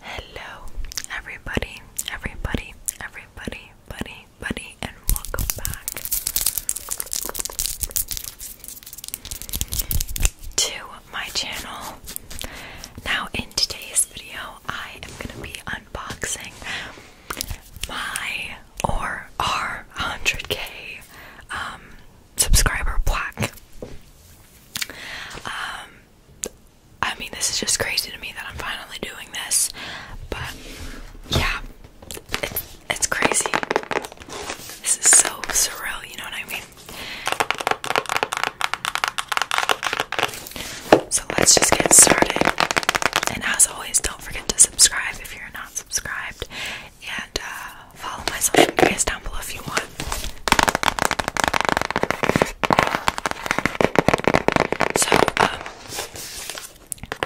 Hello, everybody, everybody, everybody, buddy, buddy, and welcome back to my channel. Now, in today's video, I am going to be unboxing my or our 100k um, subscriber plaque. I mean, this is just crazy to me that I'm finally doing this, but yeah, it's, crazy. This is so surreal, you know what I mean? So let's just get started. And as always, don't forget to subscribe if you're not subscribed, and uh, follow my social medias down below if you want. So, um,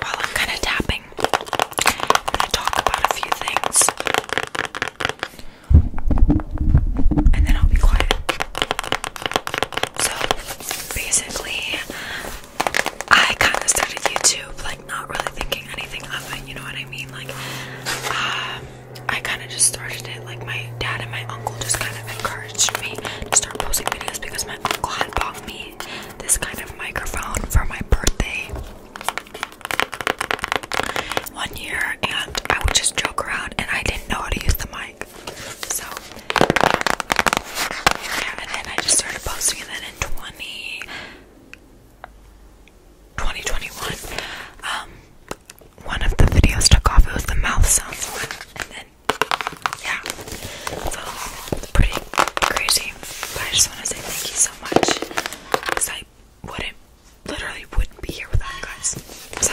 while I'm kind of tapping, I'm going to talk about a few things. And then I'll be quiet. So, basically, I kind of started YouTube, like, not really thinking anything of it, you know what I mean? Like, um, I kind of just started it. Like my dad and my uncle just kind of encouraged me to start posting videos because my uncle had bought me this kind of microphone for my birthday one year, and I would just joke around, and I didn't know how to use the mic. So yeah, and I just started posting, and then in 20. 2021 um one of the videos took off. It was the mouth sounds one, and then yeah, so pretty crazy. I just want to say thank you so much because I wouldn't, literally, wouldn't be here without you guys. So.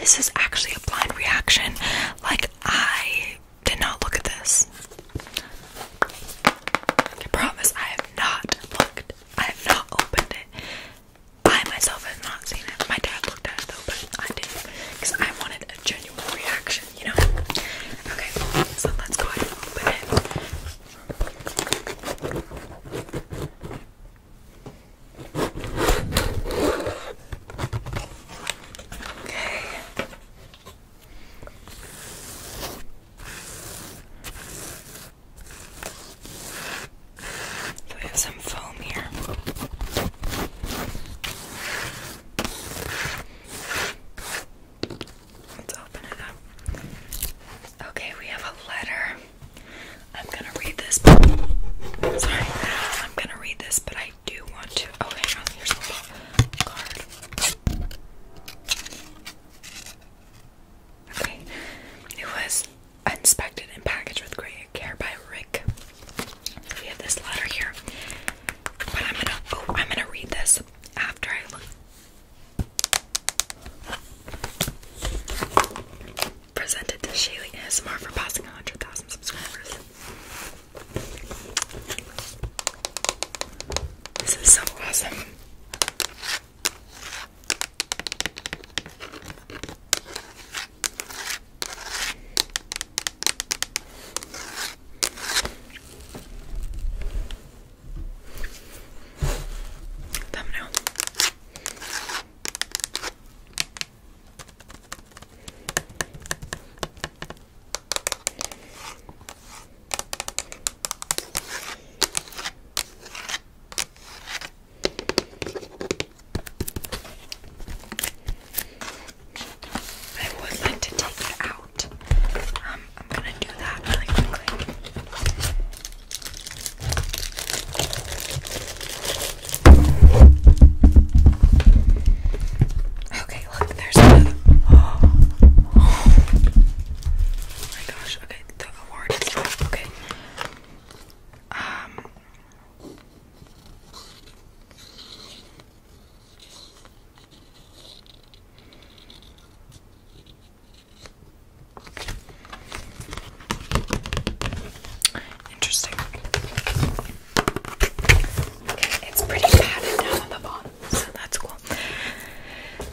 This is actually a blind reaction. Like, I did not look at this. I promise I have not looked. I have not opened it. I myself have not seen it. My dad looked at it though, but I didn't. Because I wanted a genuine reaction, you know? Okay, so let's go ahead and open it. Okay. So we have some foam here. Let's open it up. Okay, we have a letter. I'm gonna read this. But, sorry, I'm gonna read this, but I do want to. Oh, here's a little card. Okay, it was inspected and packaged with great care by Rick. We have this letter here, but I'm gonna. Oh, I'm gonna read this after I look Presented to Shaylee ASMR for passing 100,000 subscribers. This is so awesome thumbnail. I would like to take it out. Um, I'm gonna do that really quickly. Okay, look, there's the. Oh, oh my gosh, okay, the award is up. Okay. Um. Interesting. it's pretty padded down the bottom, so that's cool.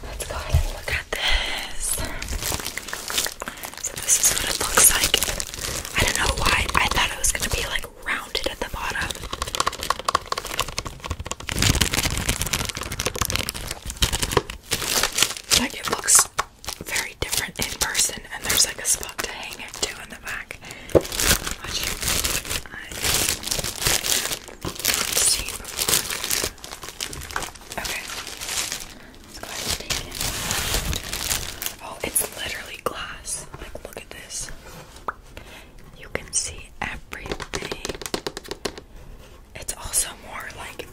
Let's go ahead and look at this. So this is what it looks like. I don't know why I thought it was gonna be like rounded at the bottom. But it looks very different in person, and there's like a spot to hang it to in the back. Oh, it's literally glass. Like, look at this. You can see everything. It's also more like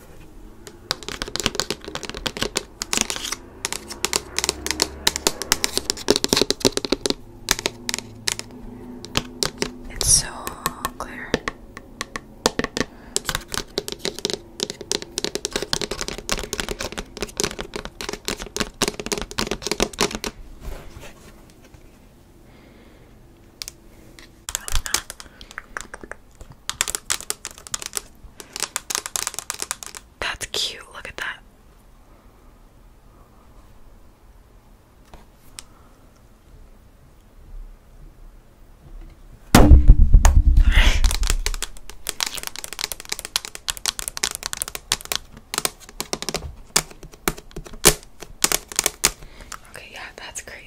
it's so clear. That's cute. Look at that. Okay, yeah, that's crazy.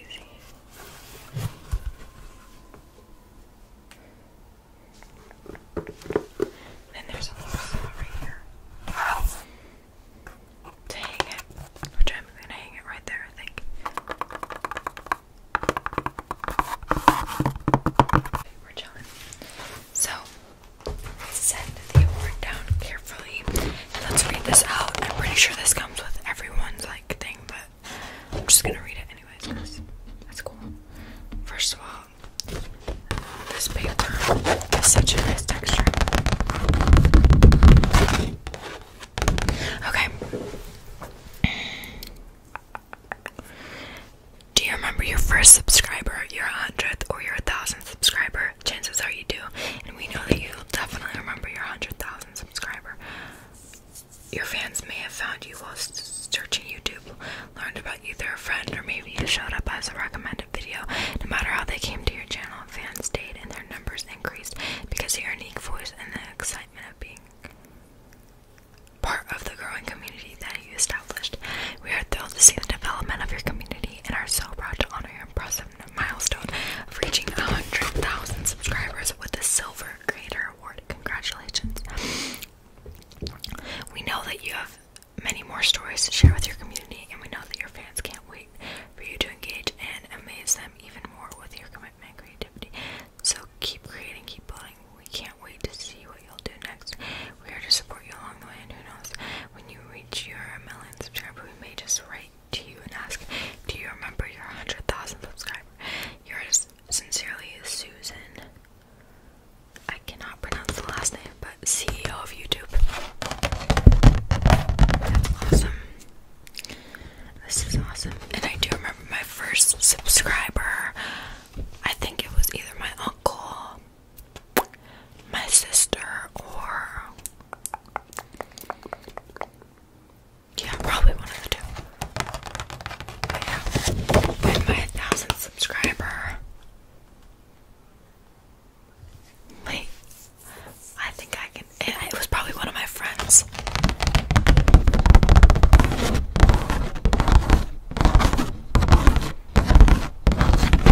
Then there's a little here. hang it, which I'm gonna hang it right there, I think. Okay, we So, set the award down carefully Let's read this out. I'm pretty sure this comes with everyone's like thing, but I'm just gonna read it anyways that's cool. First of all, this paper has such a nice texture. Okay. Do you remember your first subscriber, your hundredth, or your thousandth subscriber? Chances are you do, and we know that you will definitely remember your hundred thousand subscriber. Your fans may have found you while searching YouTube, learned about you through a friend, or maybe you showed up as a recommended video. No matter how they came to your channel, fans stayed, and their numbers increased because of your unique voice and the excitement of being part of the growing community that you established. We are thrilled to see the development of your community and are so proud to honor your impressive milestone of reaching 100,000 subscribers with the Silver Creator Award. Congratulations. We know that you have many more stories to share with your community, and we know that your fans can't wait for you to engage and amaze them even more with your commitment and creativity. So keep creating, keep building. We can't wait to see what you'll do next. We're here to support you along the way, and who knows, when you reach your million subscriber, we may just write to you and ask, Do you remember your 100,000 subscriber? Yours sincerely, Susan. I cannot pronounce the last name, but CEO of YouTube. That's awesome. This is awesome. And I do remember my first subscriber. I think it was either my uncle my sister or yeah, probably one of the two. yeah, when my thousandth subscriber, wait, I think I can. it was probably one of my friends.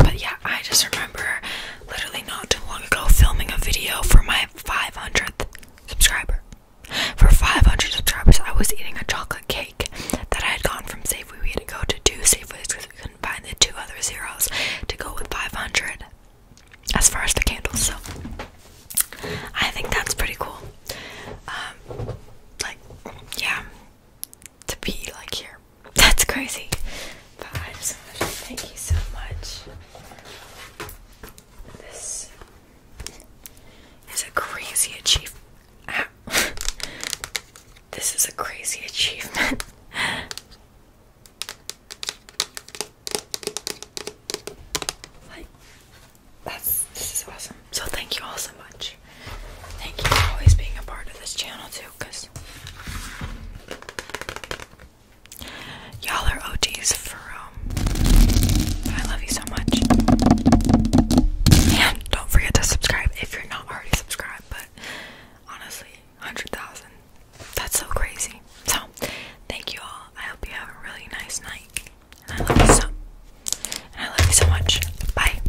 But yeah, I just remember literally not too long ago filming a video for my 500th subscriber. For 500 subscribers, I was eating a chocolate cake that I had gone from Safeway. We had to go to two Safeways because we couldn't find the two other zeros to go with 500 as far as the candles. So I think that's pretty cool. Um, like, yeah to be like here. That's crazy. But thank you so much. This is a crazy achievement. this is a crazy achievement. like that's this is awesome. So thank you all so much. Thank you for always being a part of this channel too, cause y'all are OGs for real. Um, I love you so much. And don't forget to subscribe if you're not already subscribed. But honestly, hundred thousand—that's so crazy. So, thank you all. I hope you have a really nice night. And I love you so. And I love you so much. Bye.